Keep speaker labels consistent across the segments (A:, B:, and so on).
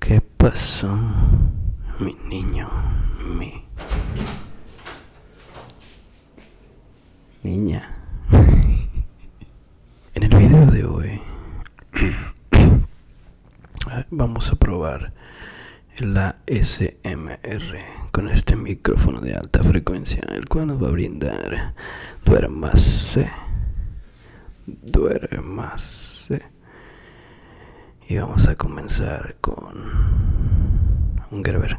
A: ¿Qué pasó, mi niño? Mi niña. en el video de hoy vamos a probar la SMR con este micrófono de alta frecuencia el cual nos va a brindar duermase duermase y vamos a comenzar con un Gerber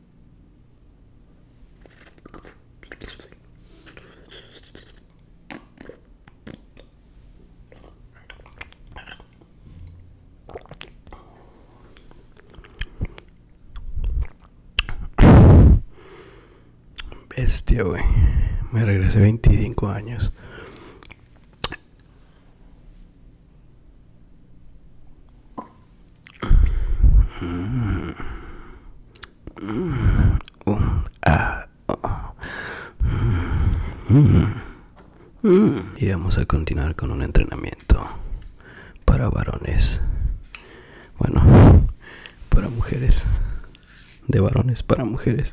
A: Bestia, güey. Me regresé 25 años. Y vamos a continuar con un entrenamiento para varones. Bueno, para mujeres. De varones para mujeres.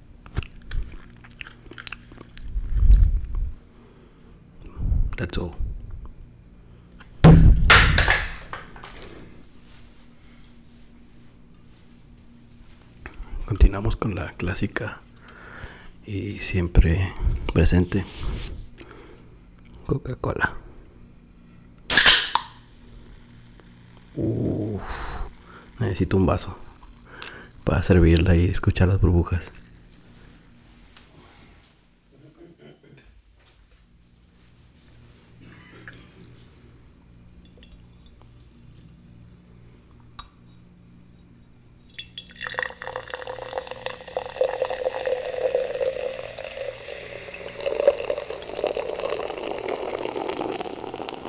A: That's all. Continuamos con la clásica y siempre presente Coca-Cola necesito un vaso para servirla y escuchar las burbujas.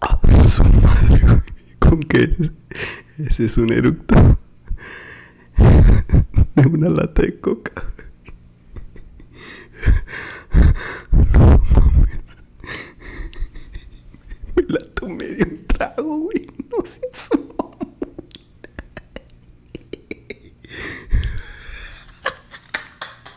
A: Ah, su ¿Con Ese es un eructo de una lata de coca. Me la tomé de un trago, No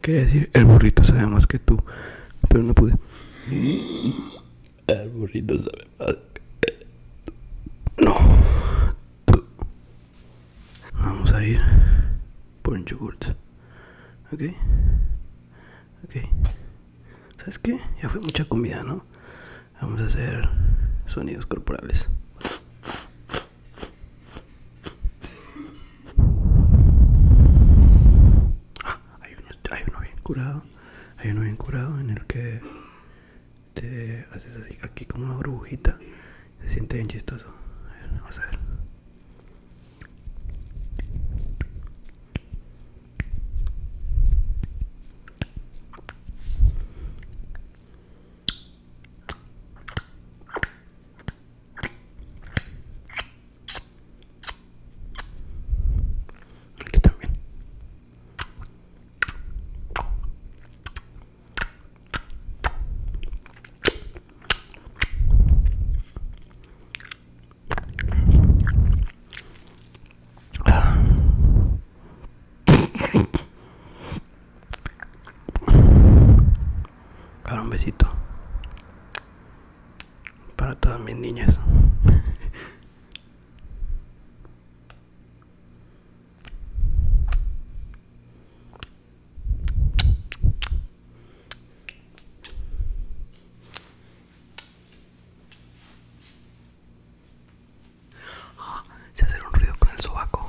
A: Quería decir, el burrito sabe más que tú, pero no pude. El burrito sabe más que tú. No. Vamos a ir por un yogurt. ¿Ok? ¿Ok? ¿Sabes qué? Ya fue mucha comida, ¿no? Vamos a hacer sonidos corporales. Ah, hay, uno, hay uno bien curado. Hay uno bien curado en el que te haces así, aquí como una burbujita. Se siente bien chistoso. A ver, vamos a ver. Aquí también. Ahora un besito para todas mis niñas. Ah, se hace un ruido con el sobaco.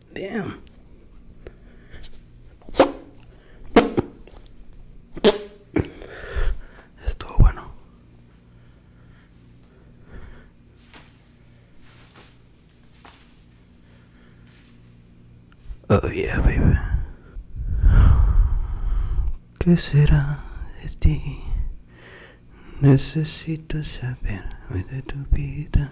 A: Damn. Estuvo bueno. Oh yeah, baby. ¿Qué será de ti? Necesito saber de tu vida.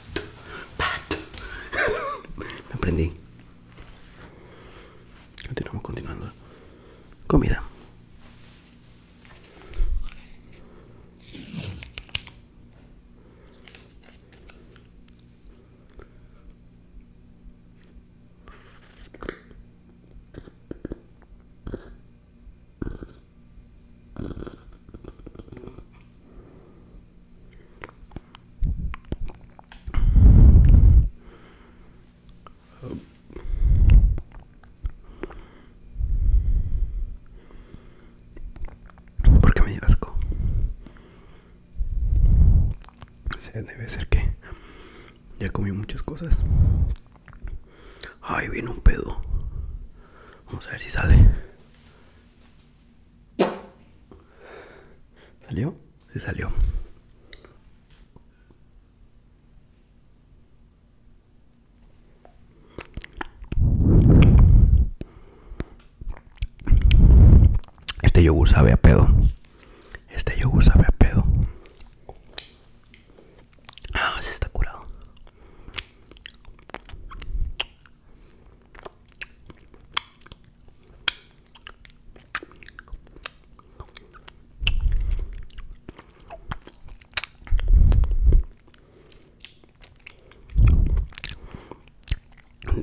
A: Me prendí. Continuamos continuando. Comida. ¿Por qué me dio asco? Debe ser que ya comí muchas cosas Ay, viene un pedo. Vamos a ver si sale. ¿Salió? Sí salió. Este yogur sabe a pedo. Este yogur sabe a pedo. Ah, se está curado.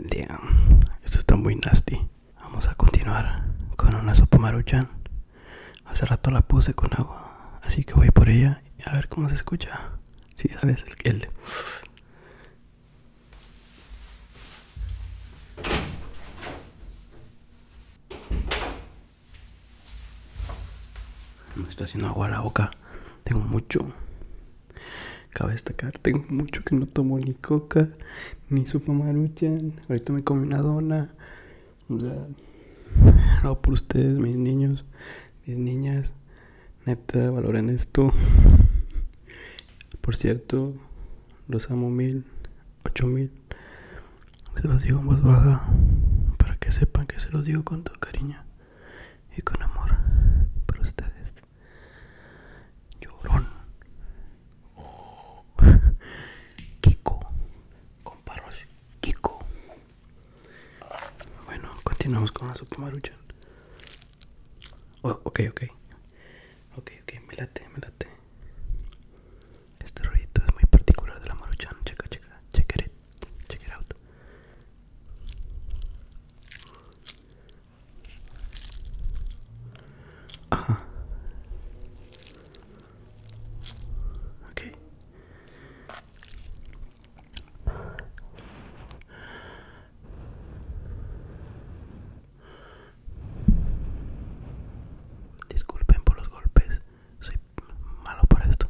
A: Damn. Esto está muy nasty. Vamos a continuar con una sopa maruchan. Hace rato la puse con agua, así que voy por ella a ver cómo se escucha. Si sabes el, el me está haciendo agua la boca. Tengo mucho. Cabe destacar, tengo mucho que no tomo ni coca, ni sopa maruchan. Ahorita me comí una dona o sea, por ustedes, mis niños, mis niñas. Neta, valoren esto. Por cierto, los amo mil, ocho mil. Se los digo en voz baja para que sepan que se los digo con todo cariño y con amor por ustedes. Llorón. Kiko. Comparos. Kiko. Bueno, continuamos con la maruchan. Oh, ok, ok. Ok, ok, me late, me late. Este ruidito es muy particular de la maruchan. Checa, checa, check it, check it out. Ajá. Ok. Disculpen por los golpes, soy malo para esto.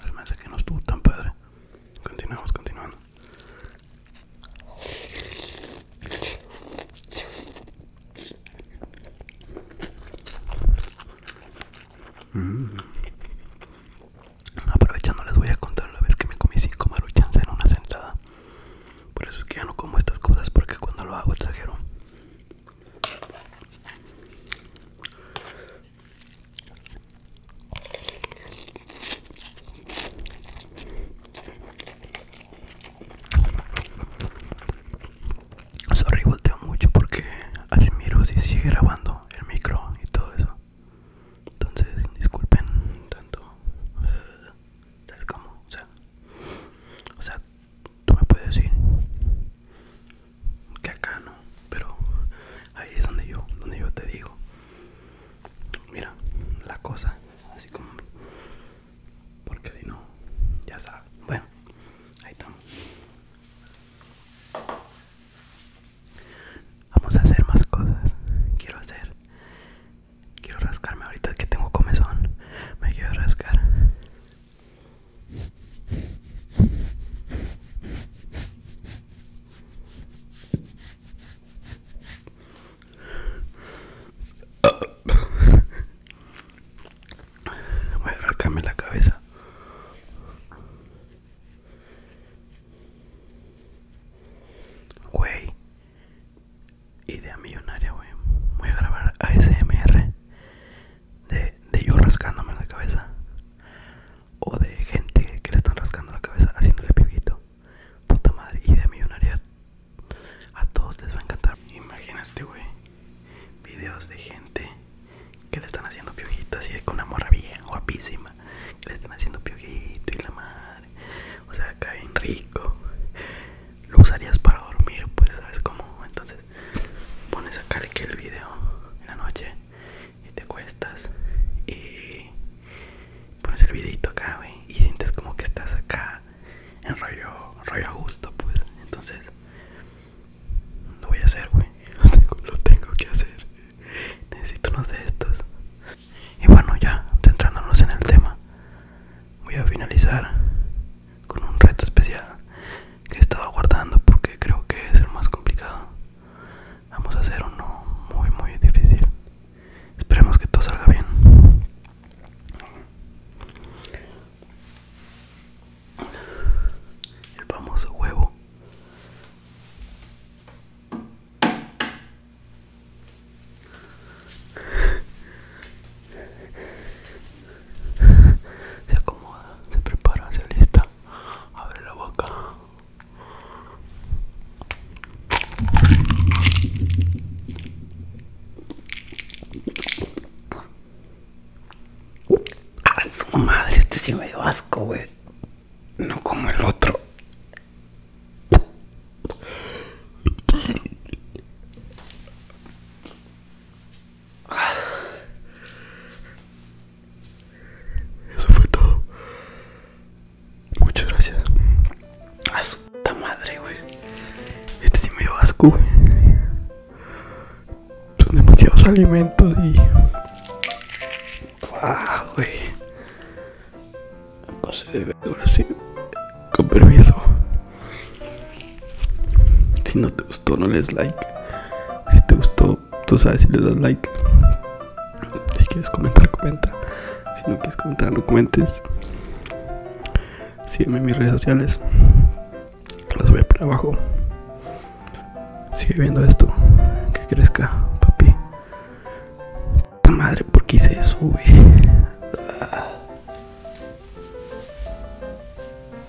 A: Además que no estuvo tan padre. Continuamos, continuando. Mm. Aprovechando les voy a contar la vez que me comí cinco maruchans en una sentada. Por eso es que ya no como estas cosas porque cuando lo hago exagero. Sorry, volteo mucho porque así miro si sigue grabando el micro y todo eso. Entonces, disculpen tanto. ¿Sabes cómo? O sea, o sea, tú me puedes decir que acá no pero ahí es donde yo donde yo te digo mira la cosa así como porque si no ya sabes bueno ahí estamos vamos a hacer más cosas quiero hacer quiero rascarme ahorita que tengo comezón me quiero rascar Voy a arrancarme la cabeza. Güey, idea millonaria, güey. Voy a grabar ASMR de, yo rascándome la cabeza o de gente que le están rascando la cabeza haciéndole piojito puta madre y de millonaria a todos les va a encantar imagínate güey videos de gente que le están haciendo piojito así con una morra bien guapísima que le están haciendo piojito y la madre o sea caen rico lo usarías para dormir pues sabes cómo entonces pones acá el video en la noche y te cuestas y pones el videito acá, güey, y sientes como que estás acá en rollo, rollo a gusto, pues. Entonces, lo voy a hacer, güey. Lo tengo, que hacer. Necesito unos de estos. Y bueno, ya, centrándonos en el tema, voy a finalizar con un reto especial que estaba guardando porque creo que es el más complicado. Vamos a hacer uno muy muy difícil. Esperemos que todo salga bien. El famoso huevo. Se acomoda, se prepara, se lista. abre la boca. A ah, su madre, este sí me dio asco, güey. No como el otro. Eso fue todo. Muchas gracias. A su madre, güey. Este sí me dio asco, Son demasiados alimentos y. Ah, güey! No se debe así. Con permiso. Si no te gustó, no les like. Si te gustó, tú sabes si le das like. Si quieres comentar, comenta. Si no quieres comentar, no comentes. Sígueme en mis redes sociales. Las voy a poner abajo. Sigue viendo esto. Que crezca, papi. madre, ¿por qué hice eso,